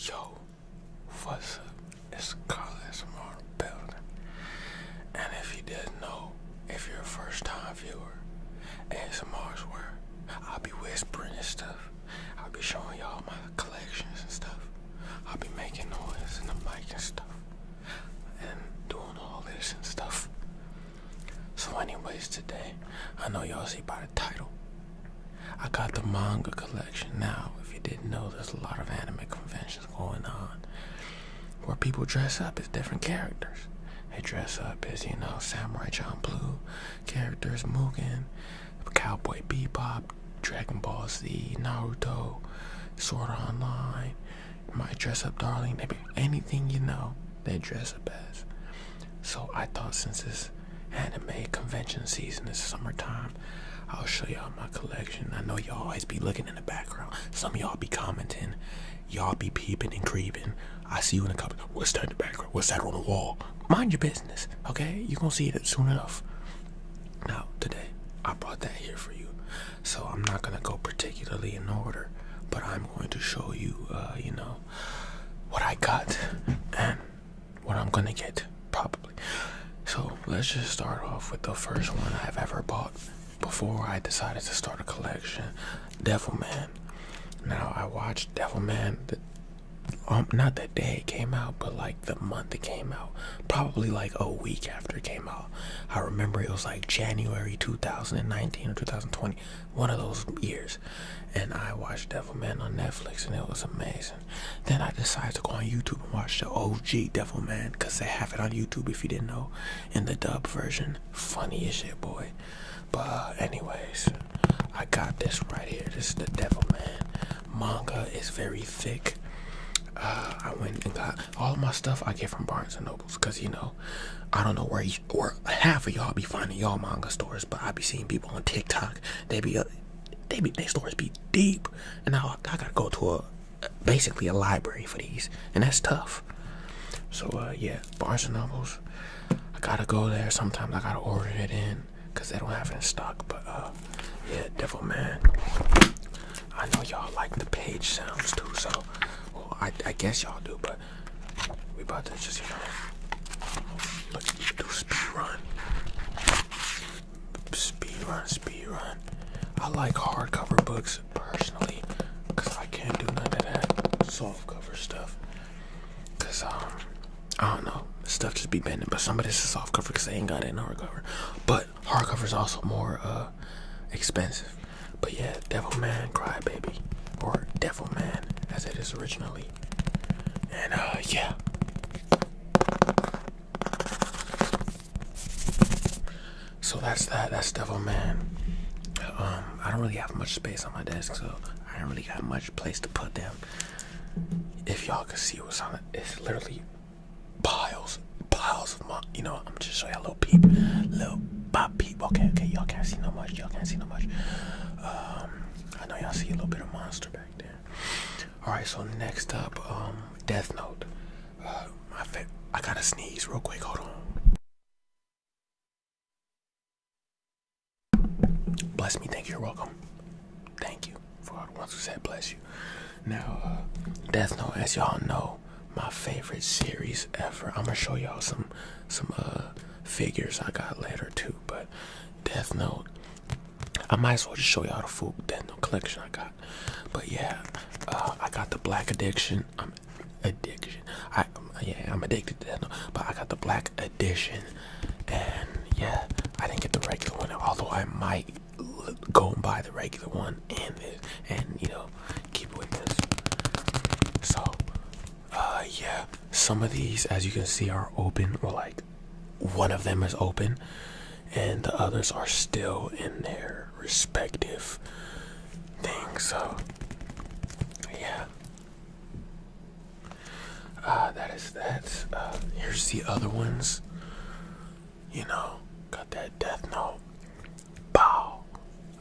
Yo, what's up? It's Carlos Moore And if you didn't know, if you're a first time viewer, ASMR's where I'll be whispering and stuff. I'll be showing y'all my collections and stuff. I'll be making noise in the mic and stuff and doing all this and stuff. So, anyways, today, I know y'all see by the title, I got the manga collection. Now, if you didn't know, there's a lot of anime conventions going on where people dress up as different characters. They dress up as, you know, Samurai John Blue characters, Mugen, Cowboy Bebop, Dragon Ball Z, Naruto, Sword Online, my dress up darling. They be anything you know, they dress up as. So I thought since this anime convention season is summertime, I'll show y'all my collection. I know y'all always be looking in the background. Some y'all be commenting. Y'all be peeping and creeping. I see you in the comments. What's that in the background? What's that on the wall? Mind your business, okay? You're gonna see it soon enough. Now, today, I brought that here for you so I'm not gonna go particularly in order, but I'm going to show you, uh, you know, what I got and what I'm gonna get probably. So let's just start off with the first one I've ever bought before I decided to start a collection, Devil Man. Now I watched Devilman. The, um, not the day it came out, but like the month it came out. Probably like a week after it came out. I remember it was like January 2019 or 2020, one of those years. And I watched Devilman on Netflix and it was amazing. Then I decided to go on YouTube and watch the OG Devilman because they have it on YouTube if you didn't know in the dub version. Funny as shit, boy. But, anyways, I got this right here. This is the Devilman manga. It's very thick. Uh, I went and got all of my stuff I get from Barnes and Nobles, cause you know, I don't know where or half of y'all be finding y'all manga stores, but I be seeing people on TikTok. They be, uh, they be, their stores be deep, and I, I gotta go to a, basically a library for these, and that's tough. So uh, yeah, Barnes and Nobles, I gotta go there. Sometimes I gotta order it in, cause they don't have it in stock. But uh, yeah, Devil Man. I know y'all like the page sounds too, so I, guess y'all do, but we about to just, you know, do speed run. Speed run, speed run. I like hardcover books personally, cause I can't do none of that soft cover stuff. Cause um, I don't know, stuff just be bending. But some of this is soft cover, cause they ain't got it in hardcover. But hardcover is also more uh, expensive. But yeah, Devil Man Crybaby, or Devil Man as it is originally. And uh, yeah. So that's that. That's Devil Man. Um, I don't really have much space on my desk, so I don't really got much place to put them. If y'all can see what's on it, it's literally piles, piles of money. You know, I'm just show you a little peep, little pop peep. Okay, okay, y'all can't see no much. Y'all can't see no much. Um, I know y'all see a little bit of monster back there. All right, so next up, um, Death Note. Uh, I gotta sneeze real quick. Hold on. Bless me. Thank you. You're welcome. Thank you for all the ones who said bless you. Now, uh, Death Note, as y'all know, my favorite series ever. I'm gonna show y'all some some uh figures I got later too, but Death Note. I might as well just show y'all the full Death Note collection I got. But yeah, uh, I got the Black Addiction. addiction. I yeah, I'm addicted to Death Note, but I got the Black Edition, and yeah, I didn't get the regular one. Although I might go and buy the regular one and and you know keep with this. So, uh, yeah, some of these, as you can see, are open or like one of them is open, and the others are still in their respective things. So, yeah. Uh, that is that. Uh, here's the other ones. You know, got that Death Note. Bow.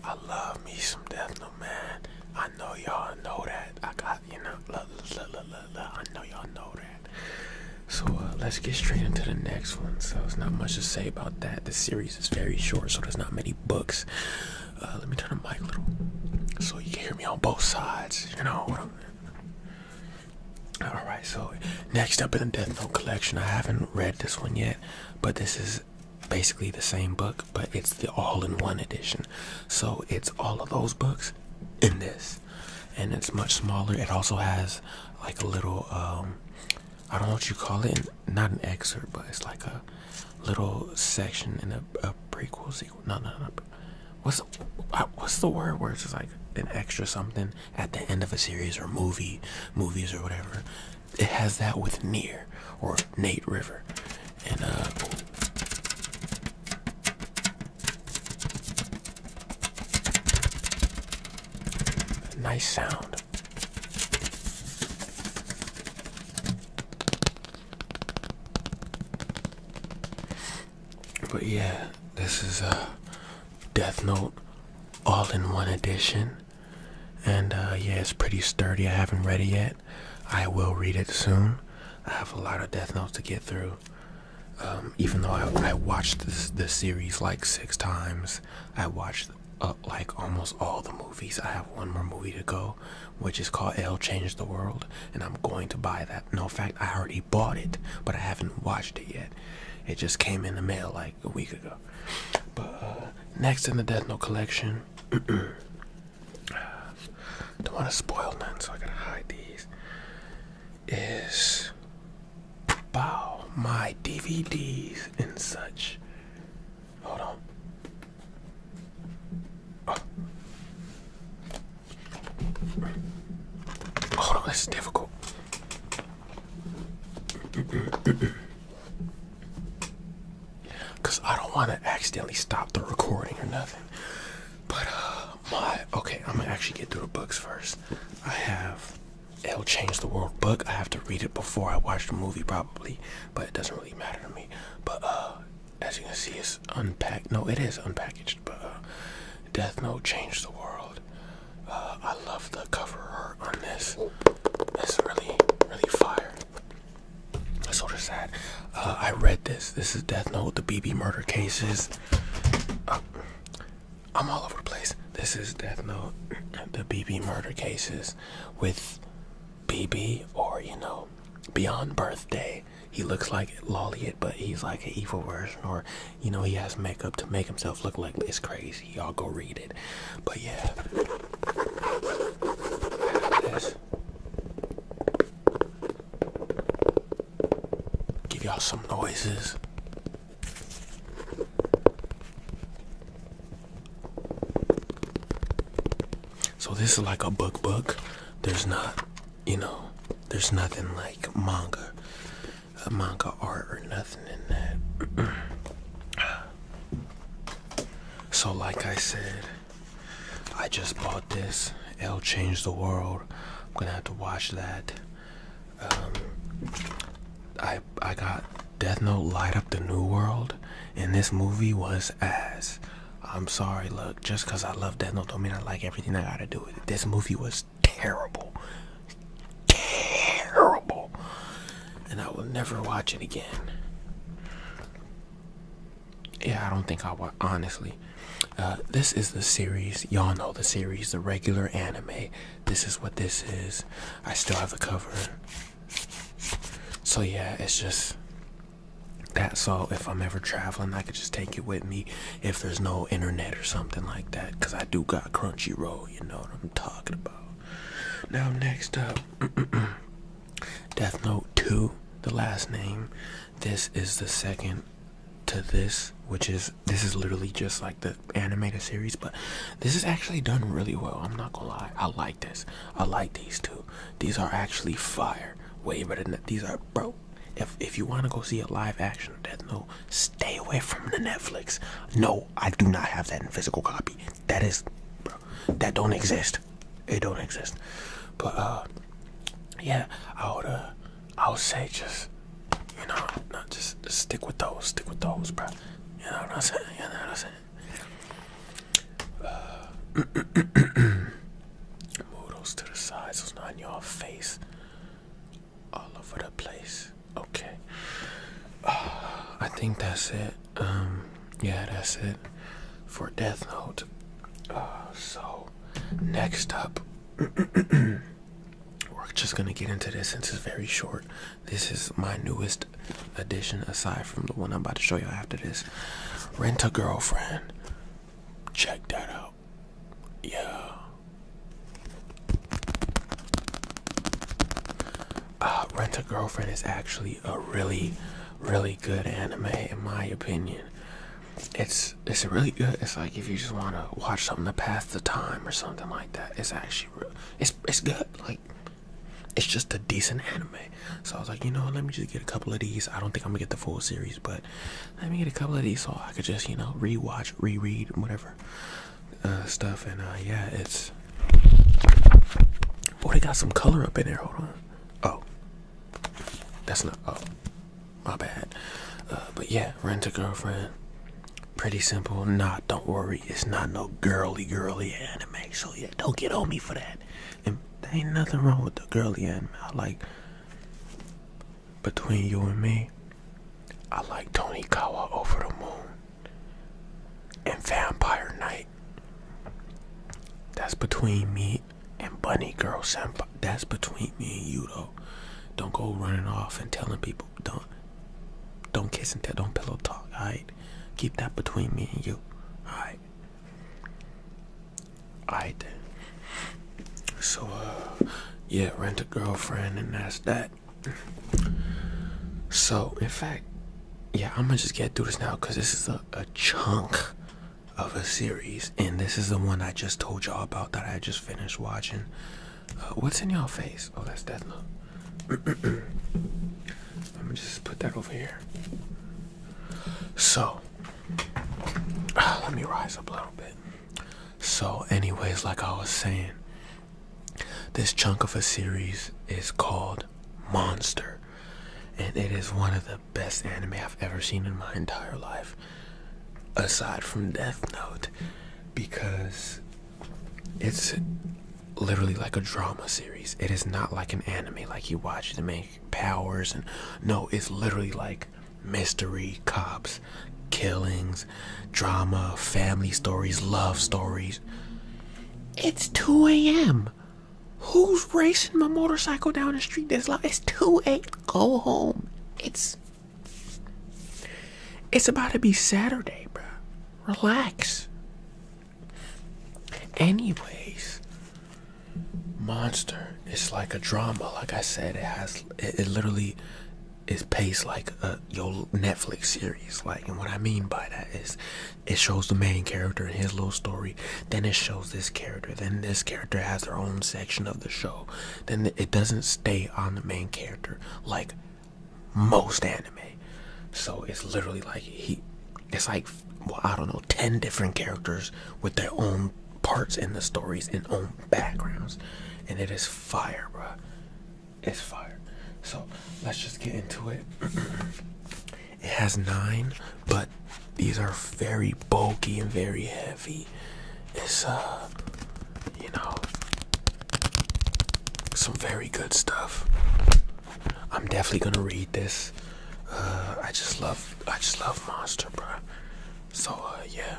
I love me some Death Note, man. I know y'all know that. I got, you know, la, la, la, la, la. I know y'all know that. So uh, let's get straight into the next one. So it's not much to say about that. The series is very short, so there's not many books. Uh, let me turn the mic a little so you can hear me on both sides. You know what I'm all right, so next up in the Death Note collection, I haven't read this one yet, but this is basically the same book, but it's the all-in-one edition. So it's all of those books in this, and it's much smaller. It also has like a little um, I don't know what you call it, not an excerpt, but it's like a little section in a, prequel sequel. No, no, no. What's uh, what's the word where it's like an extra something at the end of a series or movie, movies or whatever. It has that with Near or Nate River. And uh, nice sound. But yeah, this is a Death Note all-in-one edition, and uh, yeah, it's pretty sturdy. I haven't read it yet. I will read it soon. I have a lot of Death Notes to get through. Um, even though I, watched this the series like six times, I watched like almost all the movies. I have one more movie to go, which is called L Change the World, and I'm going to buy that. No, in fact, I already bought it, but I haven't watched it yet. It just came in the mail like a week ago. But uh, next in the Death Note collection, don't want to spoil none, so I gotta hide these. Is bow my DVDs and such. Hold on. Oh. Hold on, this is difficult. Cause I don't want to accidentally stop the recording or nothing. But uh, my okay, I'm gonna actually get through the books first. I have It'll Change the World book. I have to read it before I watch the movie probably, but it doesn't really matter to me. But uh, as you can see, it's unpacked. No, it is unpackaged but uh, Death Note changed the world. Uh, I love the cover art on this. This is really, really fire. It's sort of sad. Uh, I read this. This is Death Note, the BB murder cases. I'm all over the place. This is Death Note, the BB murder cases with BB or, you know, Beyond Birthday. He looks like Lolliet, but he's like an evil version, or you know he has makeup to make himself look like it's crazy. Y'all go read it. But yeah. Give y'all some noises. So this is like a book book. There's not, you know, there's nothing like manga a manga art or nothing in that. so, like I said, I just bought this. It'll change the world. I'm gonna have to watch that. Um, I I got Death Note light up the new world, and this movie was ass. I'm sorry, look, just cause I love Death Note don't mean I like everything I gotta do with This movie was terrible. Terrible. And I will never watch it again. Yeah, I don't think I will, honestly. Uh, this is the series. Y'all know the series, the regular anime. This is what this is. I still have the cover. So, yeah, it's just that. So, if I'm ever traveling, I could just take it with me if there's no internet or something like that. Cause I do got Crunchyroll, you know what I'm talking about. Now next up, Death Note 2, the last name. This is the second to this, which is this is literally just like the animated series, but this is actually done really well. I'm not gonna lie, I like this. I like these two. These are actually fire. Way better than these are, bro. If if you want to go see a live action of Death Note, stay away from the Netflix. No, I do not have that in physical copy. That is, bro, that don't exist. It don't exist. But uh, yeah, I would uh, I would say just you know just, stick with those, stick with those, bro. You know what I'm saying? You know what I'm saying? Uh, move to the sides, it's not in your face all over the place. Okay. I think that's it. Um, yeah, that's it for Death Note. Uh, so next up, we're just gonna get into this since it's very short. This is my newest addition, aside from the one I'm about to show you after this. Rent a girlfriend. Check that out. Yeah. Uh, Rent a Girlfriend is actually a really, really good anime in my opinion. It's it's really good. It's like if you just want to watch something to pass the time or something like that. It's actually real. It's it's good. Like it's just a decent anime. So I was like, you know, let me just get a couple of these. I don't think I'm gonna get the full series, but let me get a couple of these so I could just, you know, rewatch, reread, whatever uh, stuff. And uh, yeah, it's. boy they got some color up in there. Hold on. Oh, that's not. Oh, my bad. Uh, but yeah, rent a girlfriend. Pretty simple. Nah, don't worry. It's not no girly, girly anime. So yeah, don't get on me for that. And there ain't nothing wrong with the girly anime. I like between you and me, I like Tony Kawa over the moon and Vampire Night. That's between me and Bunny Girl Senpai. That's between me and you though. Don't go running off and telling people don't don't kiss and tell don't pillow talk, alright? Keep that between me and you. Alright. Alright then. So, uh, yeah, rent a girlfriend, and that's that. So, in fact, yeah, I'm gonna just get through this now because this is a, chunk of a series, and this is the one I just told y'all about that I just finished watching. Uh, what's in y'all face? Oh, that's Death Let me just put that over here. So, uh, let me rise up a little bit. So, anyways, like I was saying, this chunk of a series is called Monster, and it is one of the best anime I've ever seen in my entire life, aside from Death Note, because it's literally like a drama series. It is not like an anime, like you watch to make powers, and no, it's literally like mystery, cops, killings, drama, family stories, love stories. It's 2 a.m. Who's racing my motorcycle down the street That's loud? It's 2 a.m. Go home. It's. It's about to be Saturday, bro. Relax. Anyways, monster it's like a drama like i said it has it, literally is paced like a uh, your netflix series like and what i mean by that is it shows the main character and his little story then it shows this character then this character has their own section of the show then it doesn't stay on the main character like most anime so it's literally like he it's like well, i don't know 10 different characters with their own parts in the stories and own backgrounds, and it is fire, bro. It's fire. So let's just get into it. it has nine, but these are very bulky and very heavy. It's uh, you know, some very good stuff. I'm definitely gonna read this. Uh, I just love, I just love Monster, bro. So uh, yeah,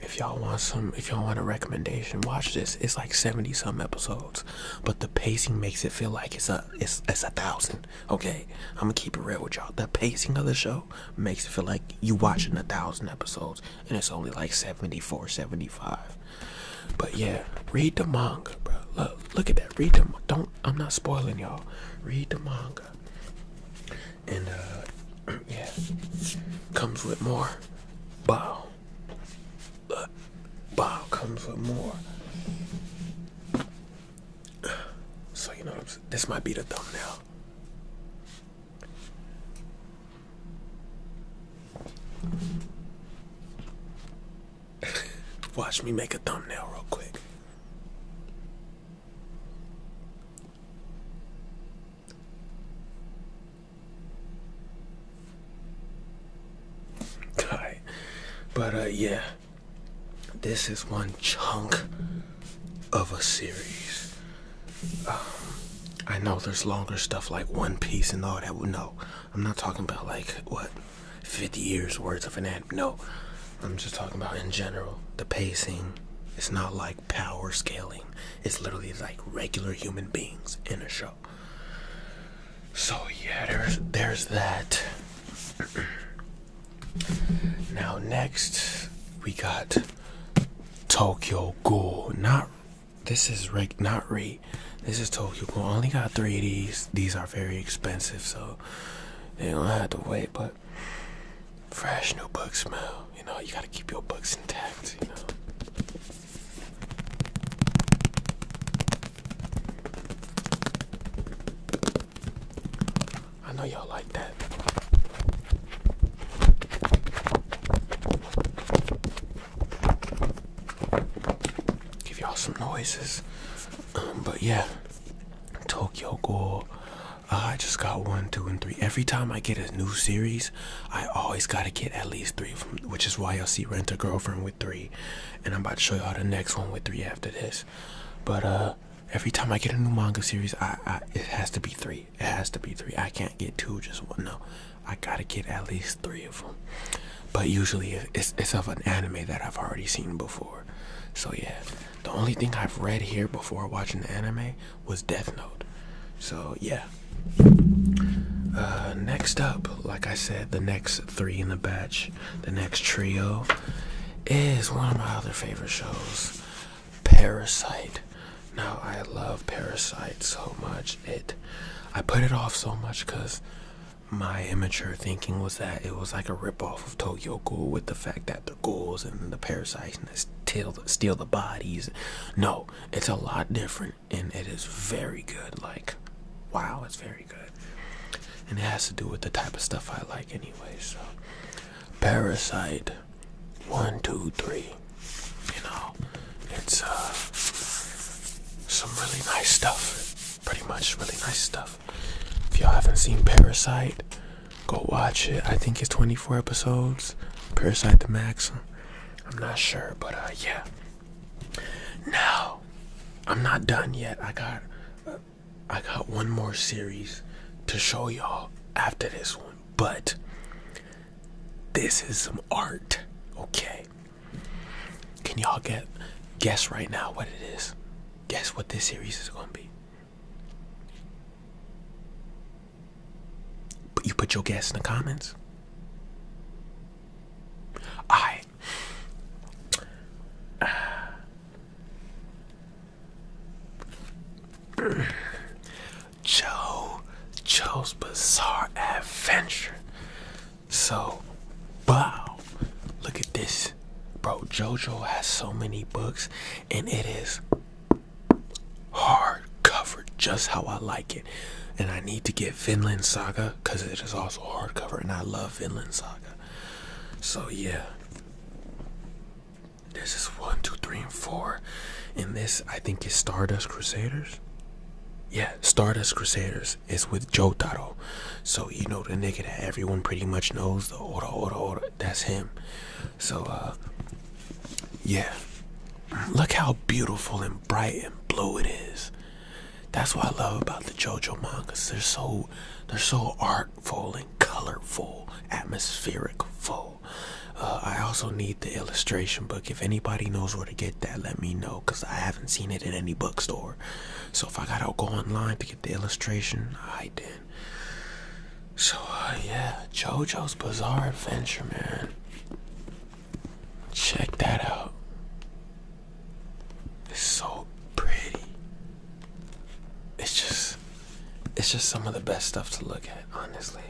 if y'all want some, if y'all want a recommendation, watch this. It's like seventy some episodes, but the pacing makes it feel like it's a it's a thousand. Okay, I'm gonna keep it real with y'all. The pacing of the show makes it feel like you watching a thousand episodes, and it's only like 74, 75. But yeah, read the manga, bro. Look, look at that. Read the don't. I'm not spoiling y'all. Read the manga and uh, yeah, comes with more bow. Uh, bow comes with more. So you know, this might be the thumbnail. Watch me make a thumbnail real quick. But uh, yeah, this is one chunk of a series. Uh, I know there's longer stuff like One Piece and all that. No, I'm not talking about like what 50 years worth of an anime. No, I'm just talking about in general. The pacing. It's not like power scaling. It's literally like regular human beings in a show. So yeah, there's there's that. now next we got Tokyo Ghoul. Not this is reg not re. This is Tokyo Ghoul. Only got three of these. These are very expensive, so they don't have to wait, but fresh new book smell. You know, you gotta keep your books intact, you know. I know y'all like that. Give y'all some noises. but yeah, Tokyo Ghoul uh, I just got one, two, and three. Every time I get a new series, I always gotta get at least three of them, which is why you'll see Rent a Girlfriend with three, and I'm about to show y'all the next one with three after this. But uh, every time I get a new manga series, I it has to be three. It has to be three. I can't get two, just one. No, I gotta get at least three of them. But usually, it's it's of an anime that I've already seen before. So yeah. The only thing I've read here before watching the anime was Death Note. So, yeah. Uh, next up, like I said, the next three in the batch, the next trio is one of my other favorite shows, Parasite. Now, I love Parasite so much. It, I put it off so much because my immature thinking was that it was like a ripoff of Tokyo Ghoul with the fact that the ghouls and the parasites and steal the, steal the bodies. No, it's a lot different, and it is very good. Like, wow, it's very good, and it has to do with the type of stuff I like anyway. So, Parasite, one, two, three. You know, it's uh, some really nice stuff. Pretty much really nice stuff. If y'all haven't seen Parasite, go watch it. I think it's 24 episodes. Parasite the Max. I'm not sure, but uh, yeah. Now, I'm not done yet. I got, uh, I got one more series to show y'all after this one, but this is some art. Okay. Can y'all get guess right now what it is? Guess what this series is gonna be? But you put your guess in the comments. I Joe Joe's Bizarre Adventure. So, wow, look at this. Bro, JoJo has so many books, and it is hard covered just how I like it. And I need to get Finland Saga because it is also hardcover, and I love Finland Saga. So yeah, this is one, two, three, and four, and this I think is Stardust Crusaders. Yeah, Stardust Crusaders is with Joe Jotaro. So you know the nigga that everyone pretty much knows, the Ora Ora Ora. That's him. So, uh, yeah. Look how beautiful and bright and blue it is. That's what I love about the JoJo mangas. They're so, they're so artful and colorful, atmospheric full. Uh, I also need the illustration book. If anybody knows where to get that, let me know because I haven't seen it in any bookstore. So if I gotta go online to get the illustration, I did. So, uh, yeah, JoJo's Bizarre Adventure, man. Check that out. It's so pretty. It's just, it's just some of the best stuff to look at, honestly.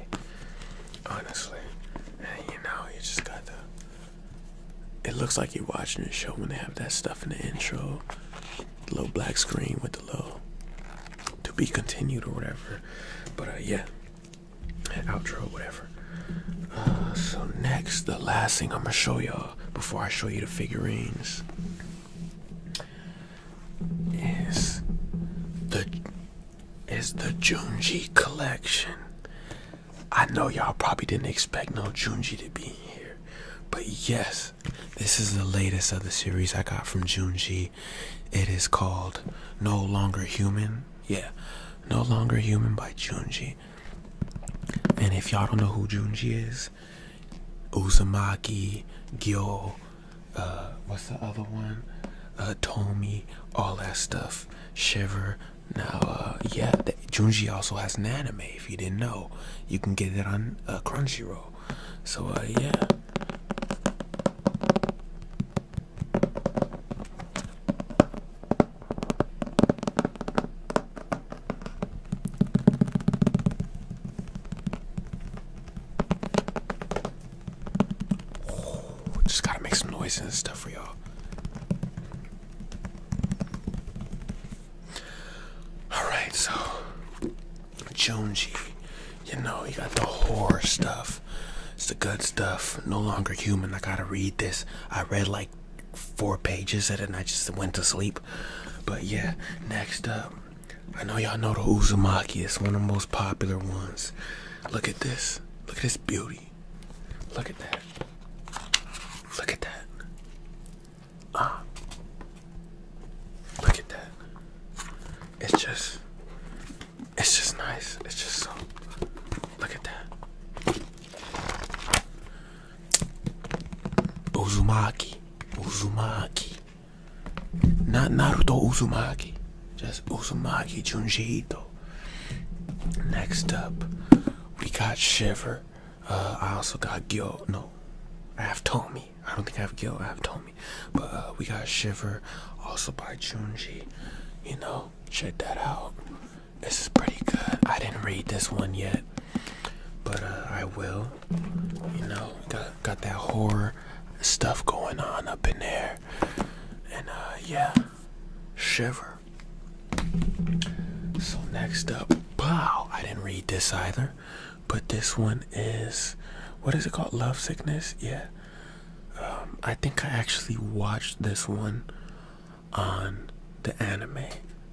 Honestly. you know, you just got the. It looks like you're watching a show when they have that stuff in the intro. little black screen with the low to be continued or whatever but uh, yeah outro or whatever uh, so next the last thing i'm gonna show y'all before i show you the figurines is the is the junji collection i know y'all probably didn't expect no junji to be here but yes this is the latest of the series I got from Junji. It is called No Longer Human. Yeah, No Longer Human by Junji. And if y'all don't know who Junji is, Uzumaki, Gyo, uh, what's the other one? Uh, Tomi, all that stuff. Shiver. Now, uh, yeah, Junji also has an anime. If you didn't know, you can get it on uh, Crunchyroll. So uh, yeah. just gotta make some noise and stuff for y'all. Alright, so Junji, you know, you got the horror stuff. It's the good stuff. No longer human. I gotta read this. I read like four pages of it and I just went to sleep. But yeah, next up. I know y'all know the Uzumaki. It's one of the most popular ones. Look at this. Look at this beauty. Look at that. Look at that. Ah, look at that. It's just, it's just nice. It's just so. Look at that. Uzumaki, Uzumaki. Not Naruto Uzumaki, just Uzumaki Junji Ito. Next up, we got Shiver. Uh, I also got guilt. No, I have Tommy. I don't think I have guilt. I have Tommy. But uh, we got Shiver, also by Junji. You know, check that out. This is pretty good. I didn't read this one yet, but uh, I will. You know, got got that horror stuff going on up in there, and yeah, Shiver. So next up, wow! I didn't read this either but this one is what is it called? Love Sickness? Yeah. Um, I think I actually watched this one on the anime.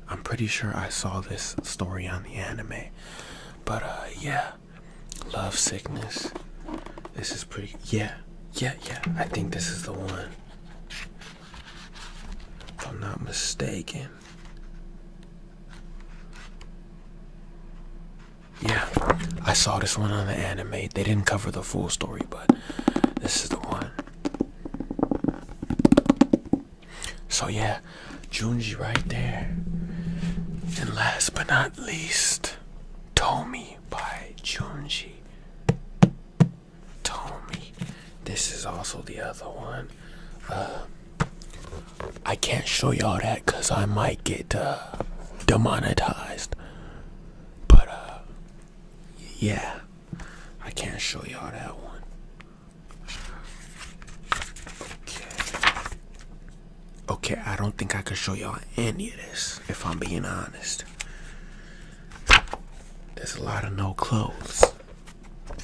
I'm pretty sure I saw this story on the anime. But uh, yeah. Love Sickness. This is pretty yeah. Yeah, yeah. I think this is the one. If I'm not mistaken. Yeah, I saw this one on the anime. They didn't cover the full story, but this is the one. So yeah, Junji right there. And last but not least, Tomi by Junji. Tomi. This is also the other one. Uh, I can't show y'all that because I might get uh, demonetized. But uh, yeah, I can't show y'all that one. Okay. Okay, I don't think I can show y'all any of this if I'm being honest. There's a lot of no clothes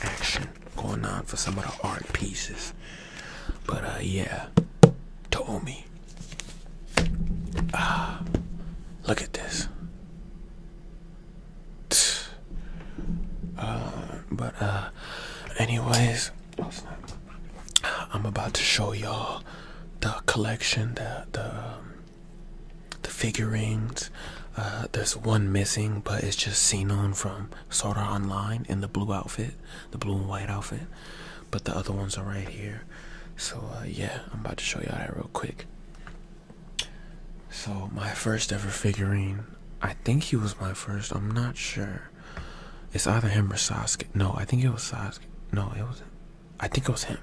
action going on for some of the art pieces. But uh, yeah, Tomi. Ah, look at this. Uh, but uh, anyways, I'm about to show y'all the collection, the the um, the figurines uh, there's one missing, but it's just on from Sword Art Online in the blue outfit, the blue and white outfit. But the other ones are right here. So uh, yeah, I'm about to show y'all that real quick. So my first ever figurine, I think he was my first. I'm not sure. It's either him or Sasuke. No, I think it was Sasuke. No, it was. I think it was him.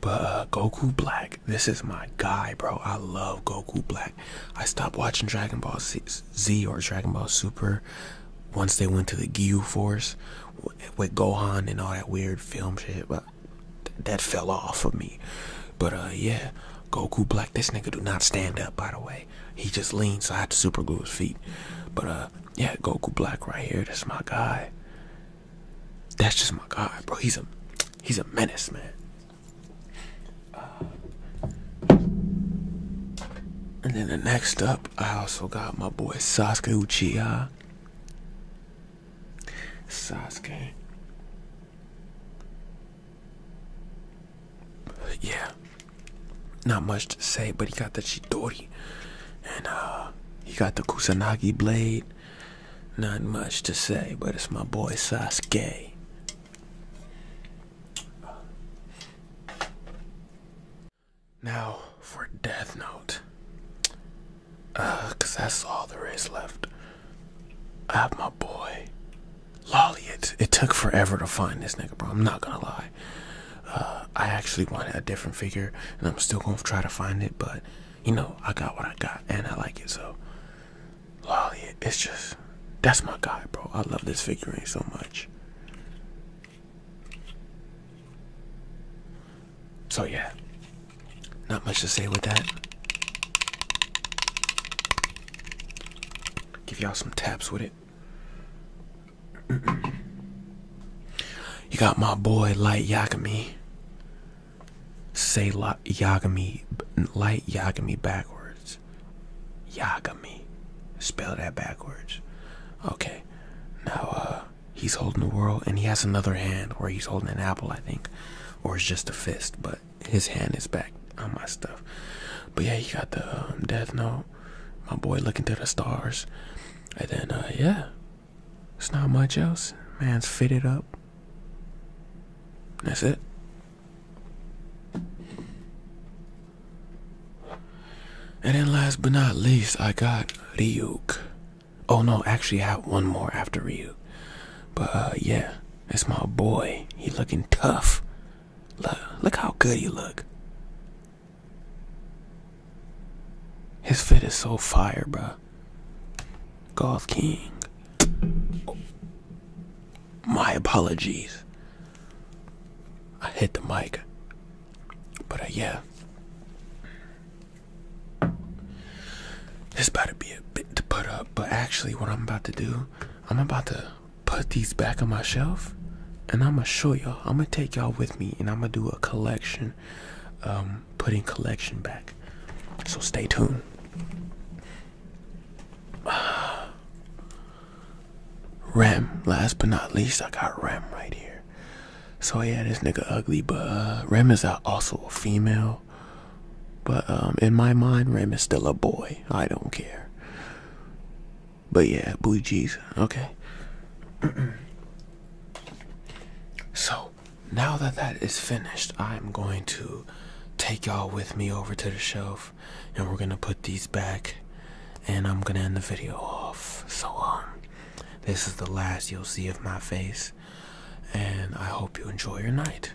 But uh, Goku Black this is my guy, bro. I love Goku Black. I stopped watching Dragon Ball Z or Dragon Ball Super once they went to the Gyu Force with Gohan and all that weird film shit, but that fell off of me. But uh, yeah, Goku Black. This nigga do not stand up, by the way. He just leans, so I had to super glue his feet. But uh, yeah, Goku Black right here. That's my guy. That's just my guy, bro. He's a he's a menace, man. And then the next up, I also got my boy Sasuke Uchiha. Sasuke. Yeah. Not much to say, but he got the Chidori. And uh he got the Kusanagi blade. Not much to say, but it's my boy Sasuke. Now for Death Note. Uh, cause that's all there is left. I have my boy. Lolly, it, it took forever to find this nigga, bro. I'm not gonna lie. Uh, I actually wanted a different figure, and I'm still gonna try to find it, but you know, I got what I got, and I like it, so Lolly, oh, it's just that's my guy, bro. I love this figurine so much. So yeah, not much to say with that. Give y'all some taps with it. you got my boy Light Yakami. Say Yagami, light Yagami backwards. Yagami. Spell that backwards. Okay. Now, uh, he's holding the world, and he has another hand where he's holding an apple, I think. Or it's just a fist, but his hand is back on my stuff. But yeah, he got the um, Death Note. My boy looking to the stars. And then, uh, yeah. It's not much else. Man's fitted up. That's it. And then last but not least, I got Riuk. Oh no, actually I have one more after Riuk. But uh, yeah, it's my boy. He looking tough. Look, look how good he look. His fit is so fire, bro. Golf King. My apologies. I hit the mic. But uh, yeah. This about to be a bit to put up, but actually what I'm about to do, I'm about to put these back on my shelf and I'ma show y'all. I'ma take y'all with me and I'ma do a collection, um, putting collection back. So stay tuned. Uh, Rem, last but not least, I got Rem right here. So yeah, this nigga ugly, but uh, Rem is also a female. But um, in my mind, Rem is still a boy. I don't care. But yeah, Blue Jeez, okay. so now that that is finished, I'm going to take y'all with me over to the shelf and we're going to put these back and I'm going to end the video off. So, um, this is the last you'll see of my face and I hope you enjoy your night.